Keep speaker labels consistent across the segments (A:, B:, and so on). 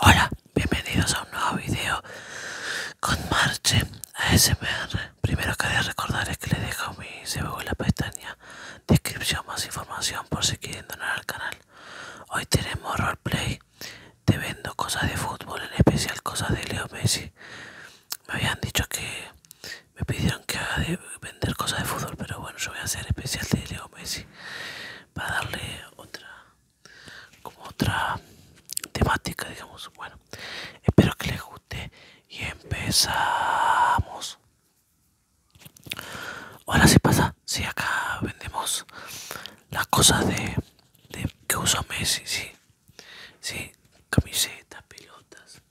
A: Hola, bienvenidos a un nuevo video con Marche ASMR. Primero quería recordarles que les dejo mi sebo en la pestaña descripción más información por si quieren donar al canal. Hoy tenemos roleplay, te vendo cosas de fútbol, en especial cosas de Leo Messi. Me habían dicho que me pidieron que haga de vender cosas de fútbol, pero bueno, yo voy a hacer especial de Leo Messi para darle otra como otra temática digamos bueno espero que les guste y empezamos ahora si pasa si sí, acá vendemos las cosas de, de que usa Messi sí sí camisetas pelotas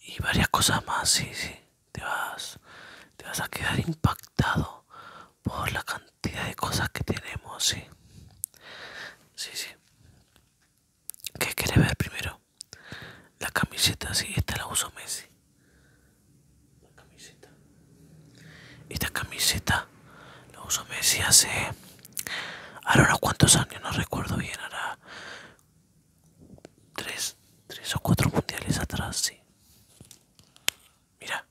A: y varias cosas más sí sí te vas, te vas a quedar impactado por la cantidad de cosas que tenemos, sí. Sí, sí. ¿Qué quieres ver primero? La camiseta, sí, esta la uso Messi. La camiseta. Esta camiseta la uso Messi hace. Ahora unos cuantos años, no recuerdo bien, ahora tres, o cuatro mundiales atrás, sí. Mira.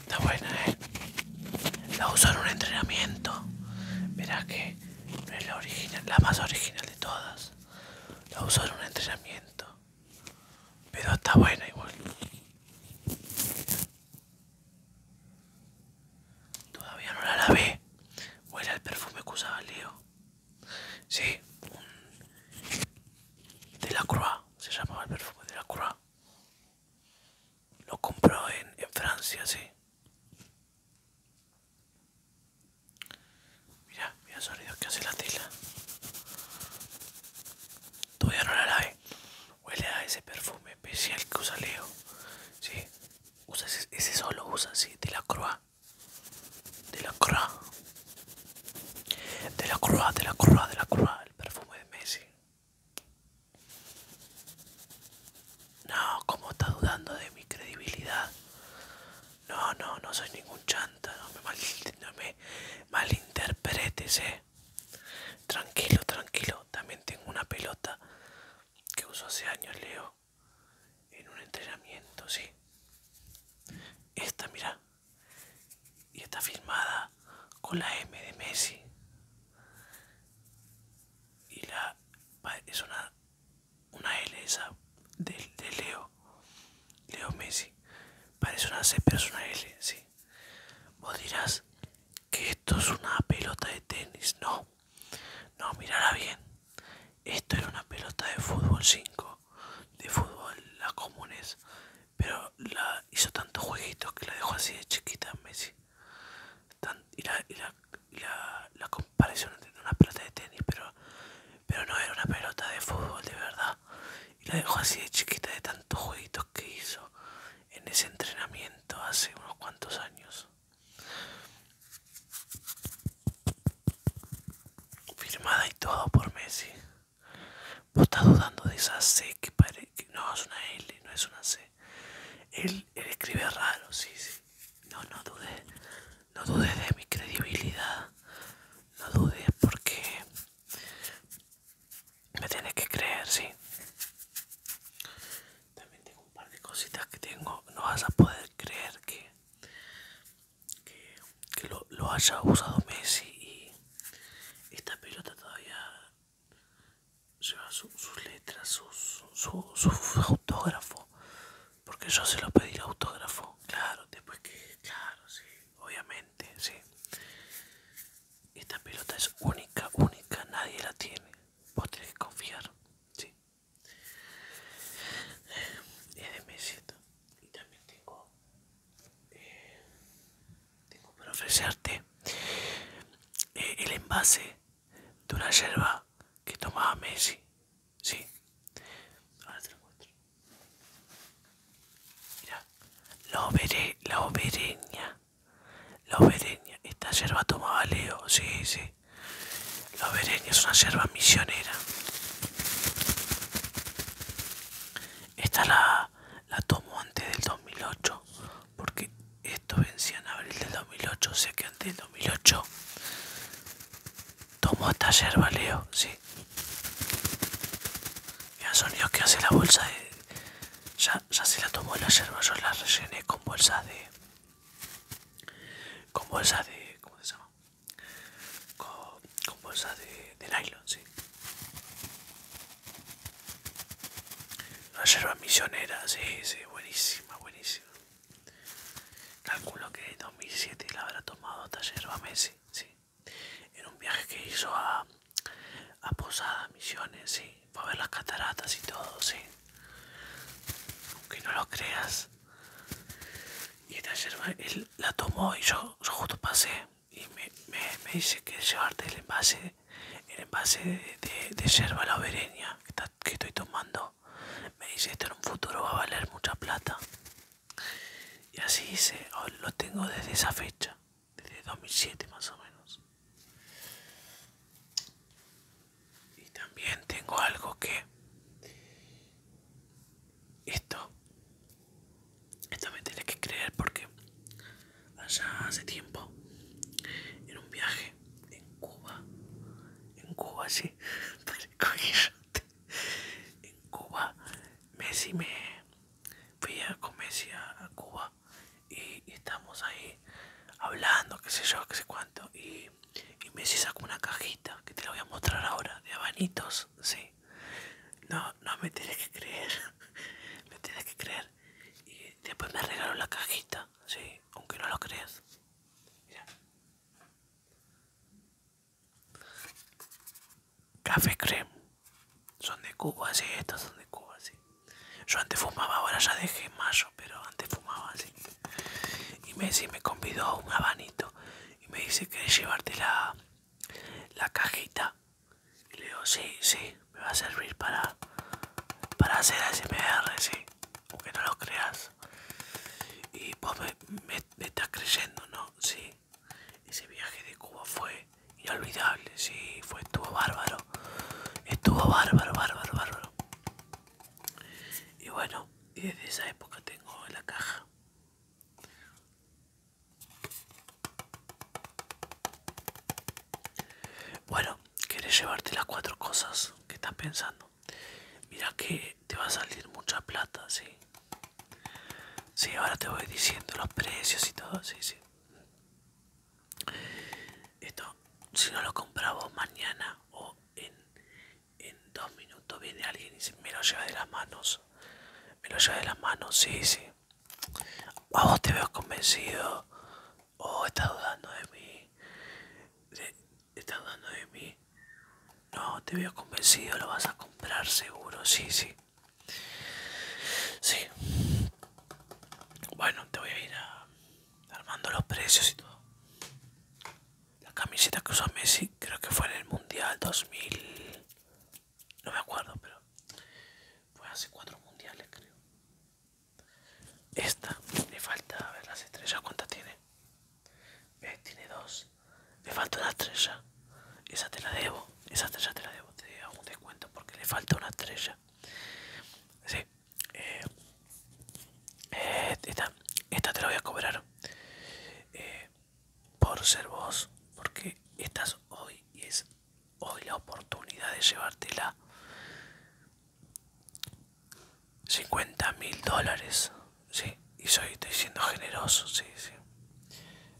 A: Está buena, eh. La uso en un entrenamiento. Verás que es la original, la más original de todas. La uso en un entrenamiento. Pero está buena igual. Todavía no la lavé. Huele al perfume que usaba Leo. Sí, un... de la Croix. Se llamaba el perfume de la Croix. Lo compró en, en Francia, sí. Mira, mira el sonido que hace la tela todavía no la lave, huele a ese perfume especial que usa Leo, ¿sí? Usa ese, solo usa, ¿sí? De la Croix, de la Croix, de la Croix, de la Croix, de la Croix, el perfume de Messi. No, como está dudando de mi credibilidad. No, no, no soy ningún no me, malinterpretes, eh. Tranquilo, tranquilo. También tengo una pelota que uso hace años, Leo, en un entrenamiento, sí. Esta, mira. Y está filmada con la M de Messi. Y la es una, una L esa de Leo. Leo Messi, parece una C pero es una L, sí. Vos dirás que esto es una pelota de tenis, no. No, mirará bien. Esto era una pelota de fútbol 5, de fútbol, la comunes, pero la hizo tantos jueguitos que la dejó así de chiquita Messi. y, la, la comparación entre una pelota de tenis, pero pero no era una pelota de fútbol de verdad y la dejó así de chiquita de tantos jueguitos que hizo en ese entrenamiento hace unos cuantos años. Firmada y todo por Messi. Vos estás dudando de esa C que parece que no es una L, no es una C. Él, él escribe raro, sí, sí. No, no dudes. No dudes de mi credibilidad. No dudes porque me tienes que creer, sí. También tengo un par de cositas que tengo. No vas a poder creer que, que, lo, haya usado Messi y esta pelota todavía lleva sus letras, su, su autógrafo. Porque yo se lo pedí el autógrafo. Claro, después que, claro, sí obviamente, sí. Esta pelota es única, única, nadie la tiene. Vos tenés que confiar, sí. Es de Messi, Y también tengo. Eh, tengo para ofrecerte eh, el envase de una yerba que tomaba Messi Sí. Ahora te Mira. La, obereña la obereña Esta yerba tomaba Leo. Sí, sí. La obereña es una yerba misionera. Esta la, la tomo antes del 2008. Porque esto vencía en abril del 2008. O sea que antes del 2008 Tomó taller Leo, sí. Ya sonidos que hace la bolsa de. Ya, se la tomó la yerba, yo la rellené con bolsa de. Con bolsa de. ¿Cómo se llama? Con, con bolsas de, nylon, sí. La yerba misionera, sí, sí, buenísima, buenísima. Calculo que en 2007 la habrá tomado taller Messi sí, En un viaje que hizo a, a Misiones, sí. ver las cataratas y todo, sí. Aunque no lo creas. Y esta yerba, él la tomó y yo, justo pasé. Y me, dice que llevarte el envase, el envase de, yerba la que, que estoy tomando. Me dice, esto en un futuro va a valer mucha plata. Y así hice, oh, lo tengo desde esa fecha, desde 2007 más o menos. Y también tengo algo que... Esto... Esto me tiene que creer porque allá hace tiempo, en un viaje en Cuba, en Cuba sí, en Cuba Messi me fui con Messi a, Cuba y, estamos ahí hablando qué sé yo qué sé cuánto y, y Messi sacó una cajita que te la voy a mostrar ahora de abanitos sí no no me tienes que creer me tienes que creer y después me regaló la cajita sí aunque no lo creas Mira. Café creme. Son de Cuba, así, estos son de Cuba, así. Yo antes fumaba, ahora ya dejé mayo, pero antes fumaba así. Y Messi me convidó un habanito y me dice, ¿querés llevarte la, cajita? Y le digo, sí, sí, me va a servir para, para hacer ASMR, sí, aunque no lo creas. Y pues me, me estás creyendo, ¿no? Sí. Ese viaje de Cuba fue inolvidable, sí, fue, estuvo bárbaro. Estuvo bárbaro, bárbaro, bárbaro. Y bueno, desde esa época tengo en la caja. Bueno, quieres llevarte las cuatro cosas que estás pensando. Mira que te, va a salir mucha plata, sí. Sí, ahora te voy diciendo los precios y todo, sí, sí. Esto, si no lo compraba mañana o en, dos minutos viene alguien y dice, me lo lleva de las manos. Me lo lleva de las manos, sí, sí. A vos te veo convencido. o estás dudando de mí. ¿Estás dando de mí? No, te veo convencido, lo vas a comprar seguro, sí, sí. Sí. Bueno, te voy a ir a... armando los precios y todo. La camiseta que usó Messi creo que fue en el Mundial 2000... No me acuerdo, pero... Fue hace cuatro mundiales, creo. Esta, le falta a ver las estrellas, ¿cuántas tiene? Eh, tiene dos. Le falta una estrella. Esa te la debo. Esa estrella te la debo. Te hago un descuento porque le falta una estrella. Sí. Eh, eh, esta, te la voy a cobrar. por ser vos. Porque estás hoy y es hoy la oportunidad de llevártela. 50.000 mil dólares, ¿sí? Y soy, estoy siendo generoso, sí, sí.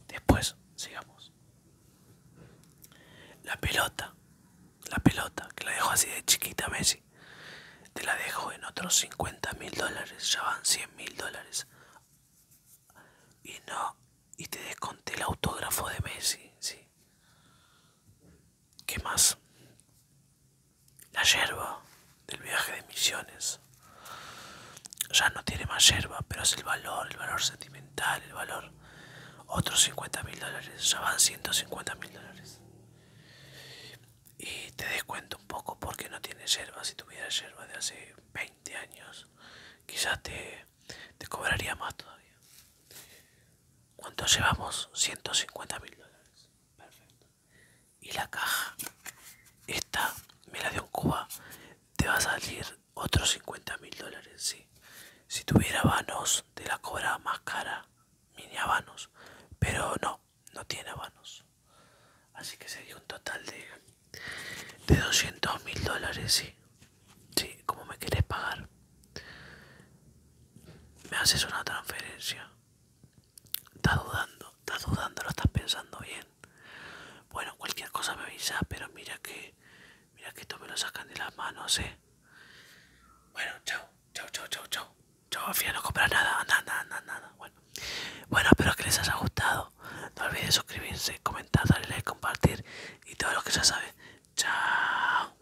A: Después, sigamos. La pelota, la pelota, que la dejo así de chiquita, Messi. Te la dejo en otros 50.000 mil dólares, ya van 100.000 mil dólares. Y no, y te desconté el autógrafo de Messi, sí. ¿Qué más? La yerba del viaje de misiones. Ya no tiene más yerba, pero es el valor, el valor sentimental, el valor. Otros 50.000 mil dólares, ya van 150.000 mil dólares. Y te descuento un poco porque no tiene yerba. Si tuviera yerba de hace 20 años, quizás te, te cobraría más todavía. ¿Cuánto llevamos? 150.000 mil dólares. Perfecto. Y la caja, esta mira de un Cuba, te va a salir otros 50.000 mil dólares, sí. Si tuviera vanos De la cobra más cara, mini vanos pero no, no tiene vanos Así que sería un total de, de 200 mil dólares, sí. como me querés pagar. Me haces una transferencia. Estás dudando, estás dudando, lo estás pensando bien. Bueno, cualquier cosa me avisa, pero mira que, mira que esto me lo sacan de las manos, eh. Bueno, chao, chao, chao, chao, chao. Chao, no compras nada, nada, nada, nada. Bueno, bueno, espero que les haya gustado. No olvides suscribirse, comentar, darle like, compartir y todo lo que ya sabe. Chao.